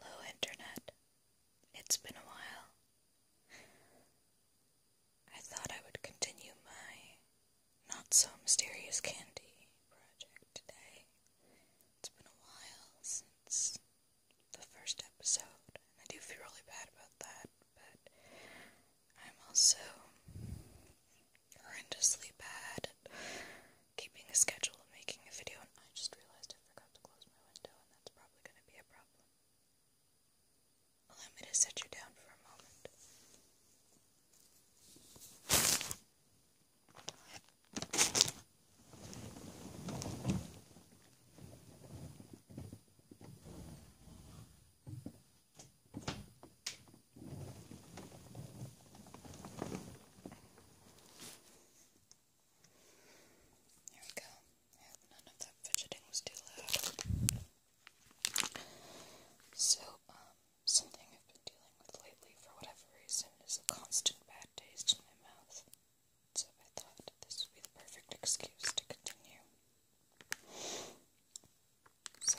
Hello, Internet. It's been a while. I thought I would continue my not so mysterious candy project today. It's been a while since the first episode, and I do feel really bad about that, but I'm also horrendously bad keeping a schedule and making a video, and I just realized I forgot to close my window, and that's probably going to be a problem. Allow me to set you down for a moment. There we go. none of that fidgeting was too loud. So, um, something I've been dealing with lately for whatever reason is a constant bad taste in my mouth. So I thought this would be the perfect excuse to continue. So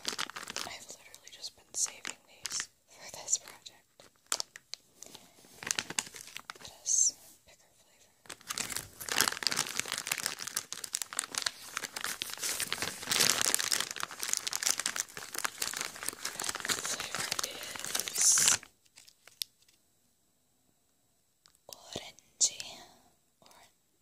I've literally just been saving these for this project. It has picker flavor. Flavor is orangey, orange.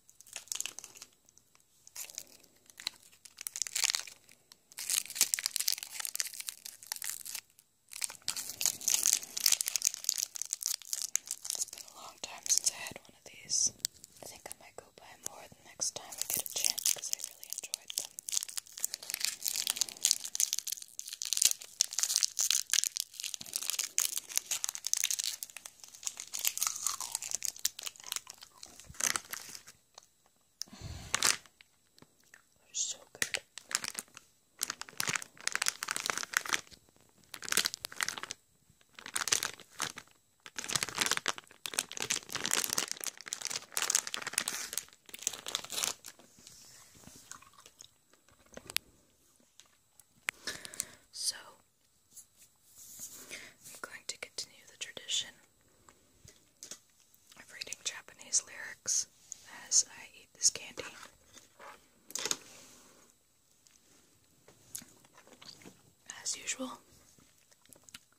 It's been a long time since I had one of these. I think I might go buy more the next time I get a chance because I really enjoyed them. They're so good. So I'm going to continue the tradition of reading Japanese lyrics as I eat this candy. As usual,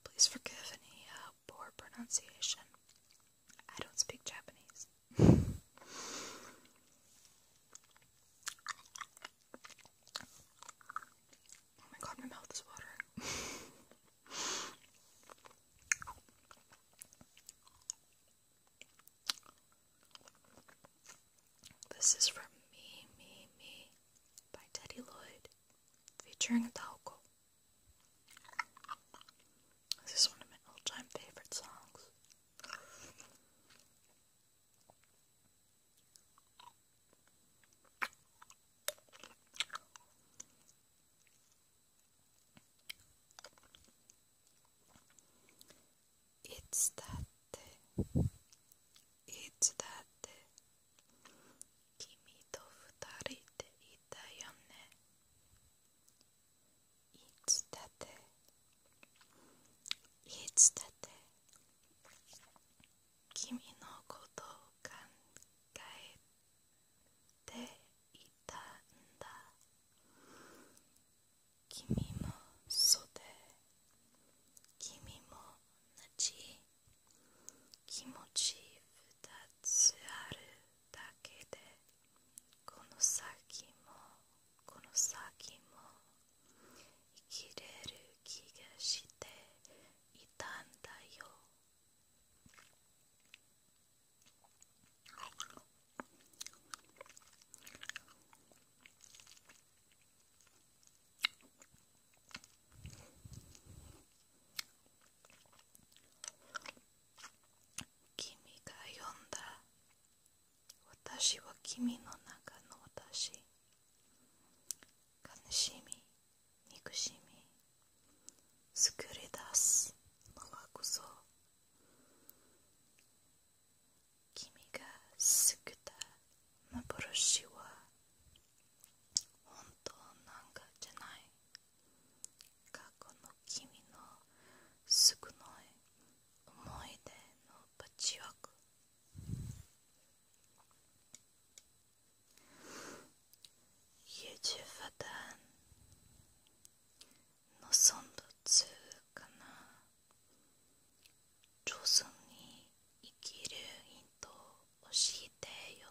please forgive any uh, poor pronunciation. I don't speak Japanese. Oh my god, my mouth is watering. this is from Me, Me, Me by Teddy Lloyd featuring Adalco. This is one of my all time favorite songs. いつだっていつだって君と二人でいたよねいつだっていつだって君のことを考えていたんだ君もそで君も同じ気持ち二つあるだけでこの先もこの先も生きれる気がしていたんだよ君が読んだ私は君の中の私悲しみ憎しみ作り出すのはこそ君が救った幻は本当なんかじゃない過去の君の少ない思い出のパッチワーク유주파단노선도2かな上手に生きるヒントを教えてよ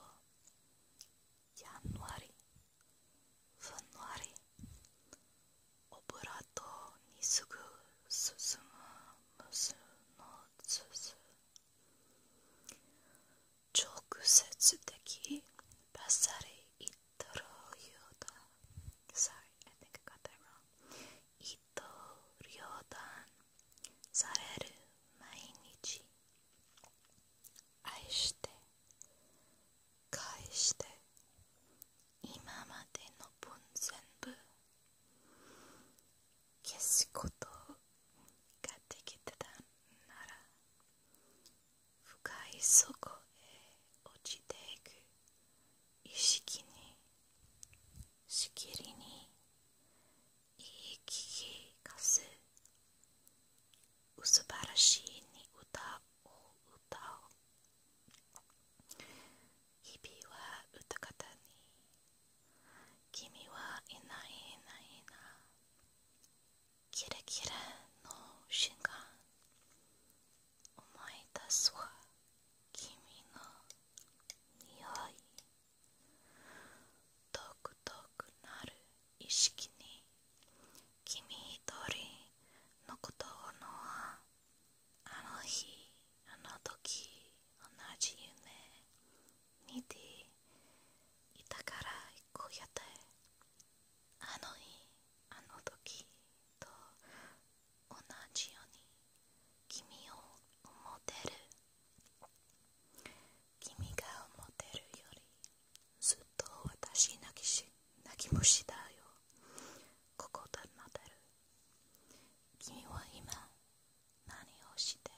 やんわりふんわりオブラートにすぐ進む無数の筒直接的バッサリイトロリョーダ Sorry, I think I got that wrong イトリョーダされる毎日愛して返して今までの分全部消すことができたなら深い底へ落ちていく意識にしきりに言い聞かす素晴らしいに歌を歌う日々は歌方に君はいないいないなキラキラの瞬間思い出すわ君の匂いとくとくなる意識に君一人のことのはあの日あの時同じ夢見ていたからこうやってあの日あの時と同じように君を思ってる君が思ってるよりずっと私泣きし泣き虫だよここで待てる君は今何をして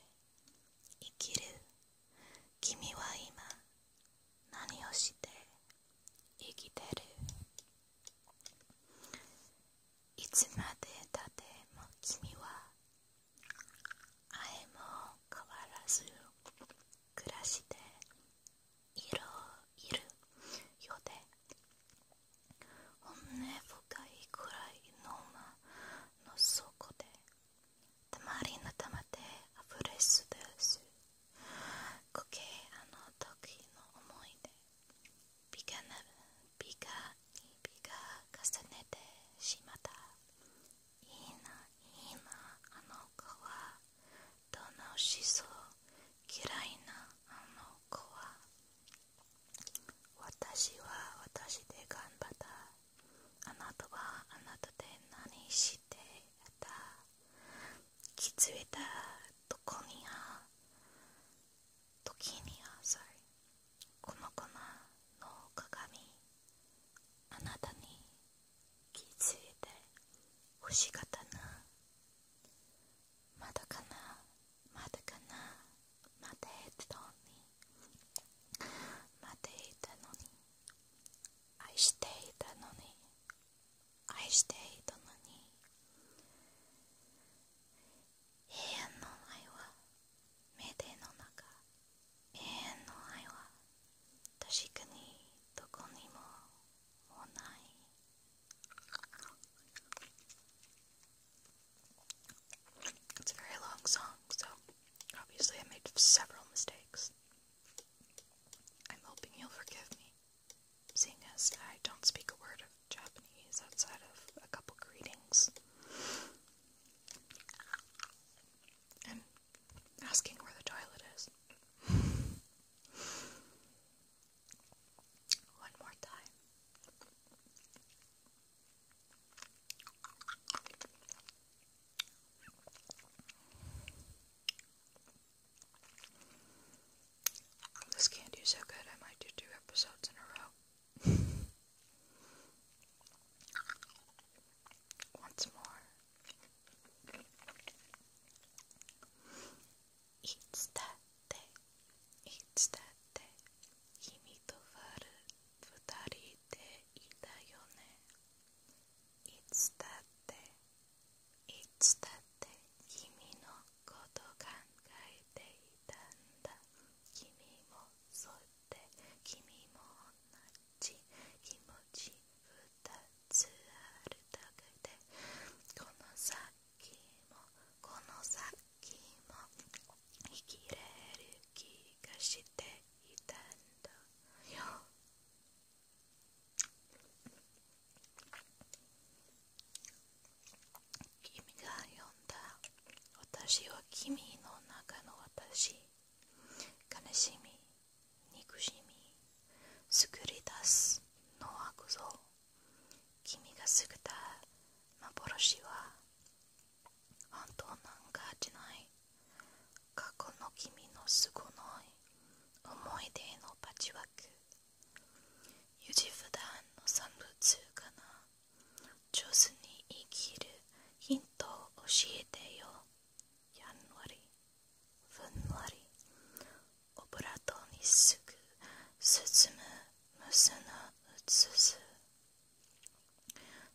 生きる君は今何をして生きてるいつまでたっても君はあえも変わらず暮らしているようで本音深いくらいのま。のそこでたまりのたまであふれすですこけあの時の思い出ビガなビガにビガ重ねてしまったいいないいなあの子はどんな思想嫌いなあの子は私は私で頑張ったあなたはあなたで何してた気づいたとこには時にはさこの粉の鏡あなたに気づいて欲しかったなまだかなまだかなまだ言ってたのにまだ言ったのに愛していたのに愛していたのに永遠の愛は目での中永遠の愛は確かにどこにももうない It's a very long song, so obviously I made several mistakes. I'm hoping you'll forgive me, seeing as I don't speak a word of Japanese outside of a couple greetings. And asking where the toilet is. One more time. This candy's so good, I might do two episodes in a row. Once more. いつだっていつだって君とワル二人でいたよねいつだっていつだって君のこと考えていたんだ君もそうて、君も同じ気持ち二つあるだけでこの先もこの先も生きれる気がしていたんだよ君が呼んだ私は君の中の私悲しみ憎しみ作り出すのはこそ君がすぐた幻は本当なんかじゃない過去の君のすごない思い出のパチワーク優柔不断の産物かな上手に生きるヒントを教えてよやんわりふんわり油とにすぐ進む無数の移す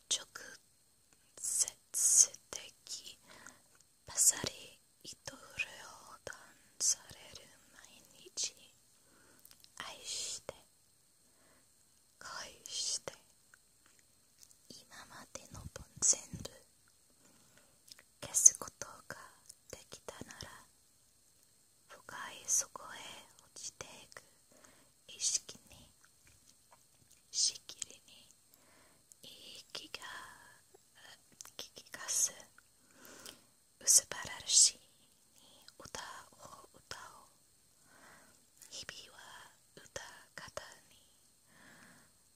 直接的パサリ糸潤を断される毎日愛して恋して今までの分全部消すことができたなら深い底へ落ちていく意識にしきりにいい気が気かす薄ばらしい。歌を歌おう日々は歌方に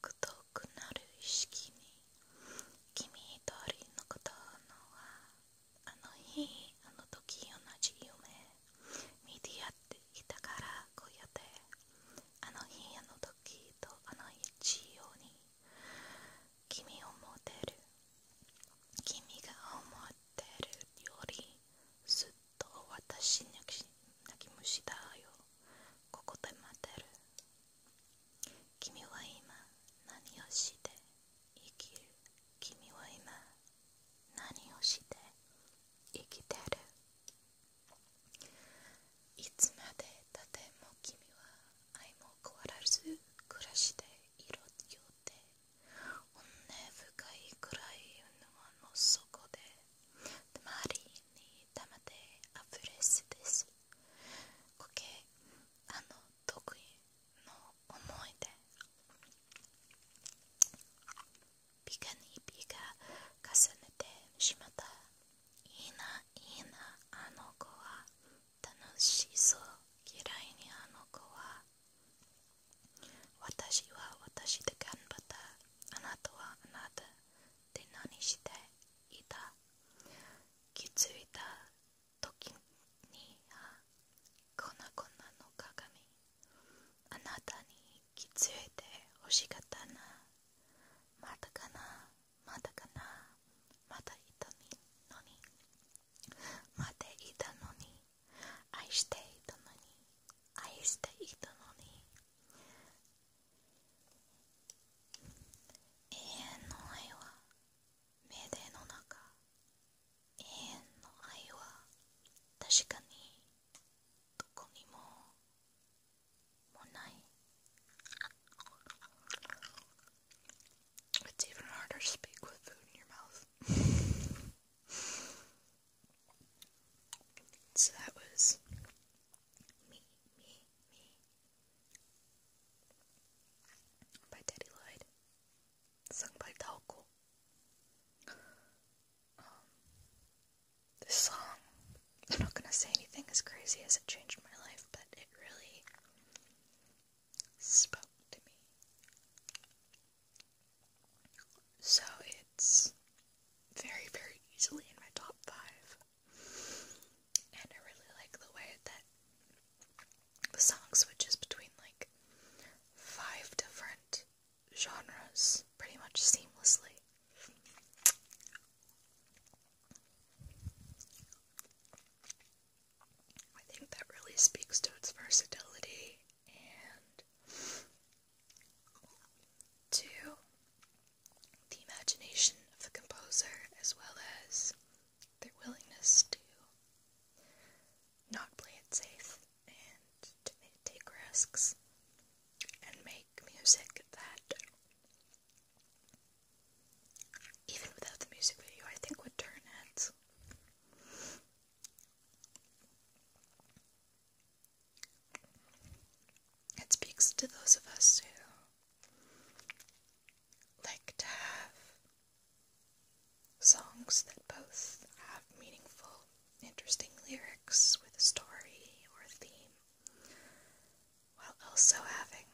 く遠くなる意識に君一人のことのはあの日あの時同じ夢見てやっていたからこうやってあの日あの時とあの一様に君を持てる君が思ってるよりずっと私泣き虫だよここで待ってる君は今何をして生きる君は今何をして生きてるいつまでたっても君は愛も変わらず暮らしていろよって本深い暗いいの底でたりにたまってあれすです固形あの得意の思い出ピカにビが重ねてしまったいいないいなあの子は楽しそう嫌いにあの子は私は私で頑張ったあなたはあなたって何していた気づいた時にはこんなこんなの鏡あなたに気づいて欲しかったなまだかなまだかなまだいたのにまっいたのに愛していたのに愛していたのに永遠の愛は命令の中永遠の愛は確かにどこにももない It's even harder to speak with food in your mouth So that was me me, me by Teddy Lloyd, sung by Taoko. Um, this song, I'm not gonna say anything as crazy as it changed my life, but it really spoke to me. So it's very, very easily in my top five. And I really like the way that the song switches between like five different genres pretty much seamlessly. I think that really speaks to its versatility and to the imagination of the composer as well as their willingness to not play it safe and to take risks and make music that even without the music video I think would turn heads. It speaks to those of us who like to have songs that both have meaningful, interesting lyrics with a story or a theme, while also having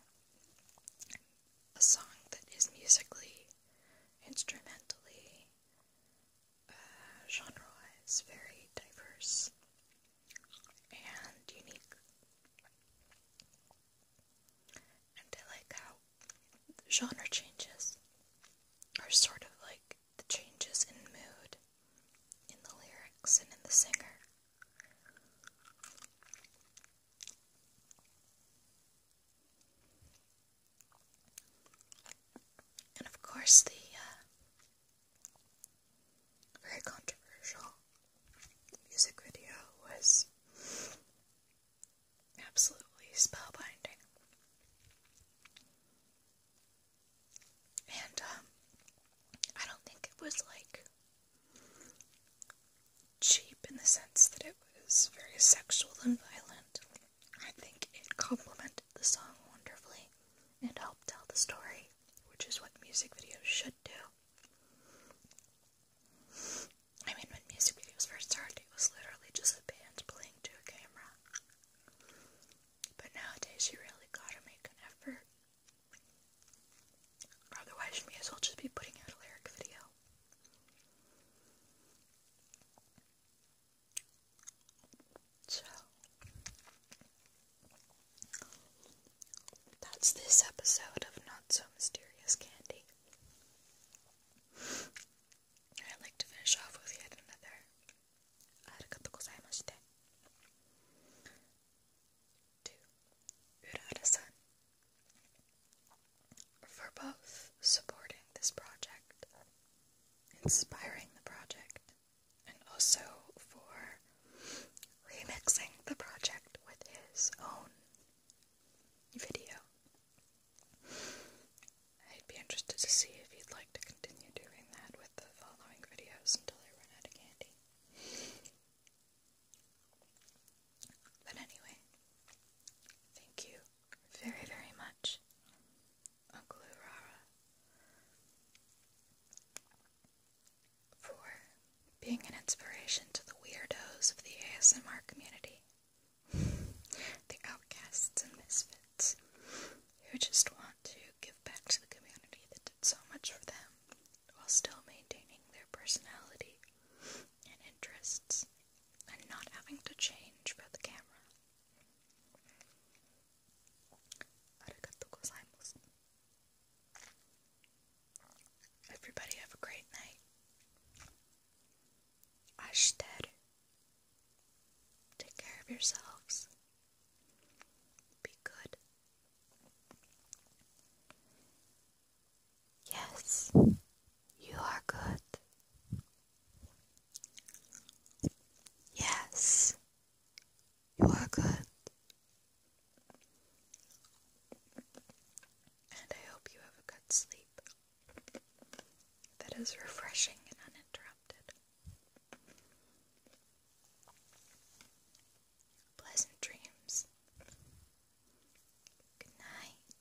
a song that is musically, instrumentally, genre is very diverse and unique. And I like how the genre changes are sort of like the changes in mood, in the lyrics, and in the singer. And of course, the uh, very controversial. The music video was absolutely spellbinding. And um, I don't think it was like cheap in the sense that it was very sexual and violent. I think it complemented the song wonderfully and help tell the story, which is what music videos should do. I mean, when music videos first started, it was literally just a band playing to a camera. But nowadays, you really gotta make an effort. Otherwise, you may as well just be putting out a lyric video. So that's this episode of Not So Mysterious Candy. I'd like to finish off with yet another Arigatou gozaimashite to Urada-san for both supporting this project, inspiring the project, and also for remixing the project with his own video. I'd be interested to see if he'd like to continue doing that with the following videos until I run out of candy. But anyway, thank you very, very much Uncle Urara for being an inspiration to the weirdos of the ASMR community, the outcasts and misfits who just want to give back to the community that did so much for them while still maintaining their personality and interests and not having to change for the camera. Everybody have a great night. Ashiteru. Take care of yourselves. Be good. Yes, you are good. Yes, you are good. And I hope you have a good sleep that is refreshing and uninterrupted. Pleasant dreams. Good night.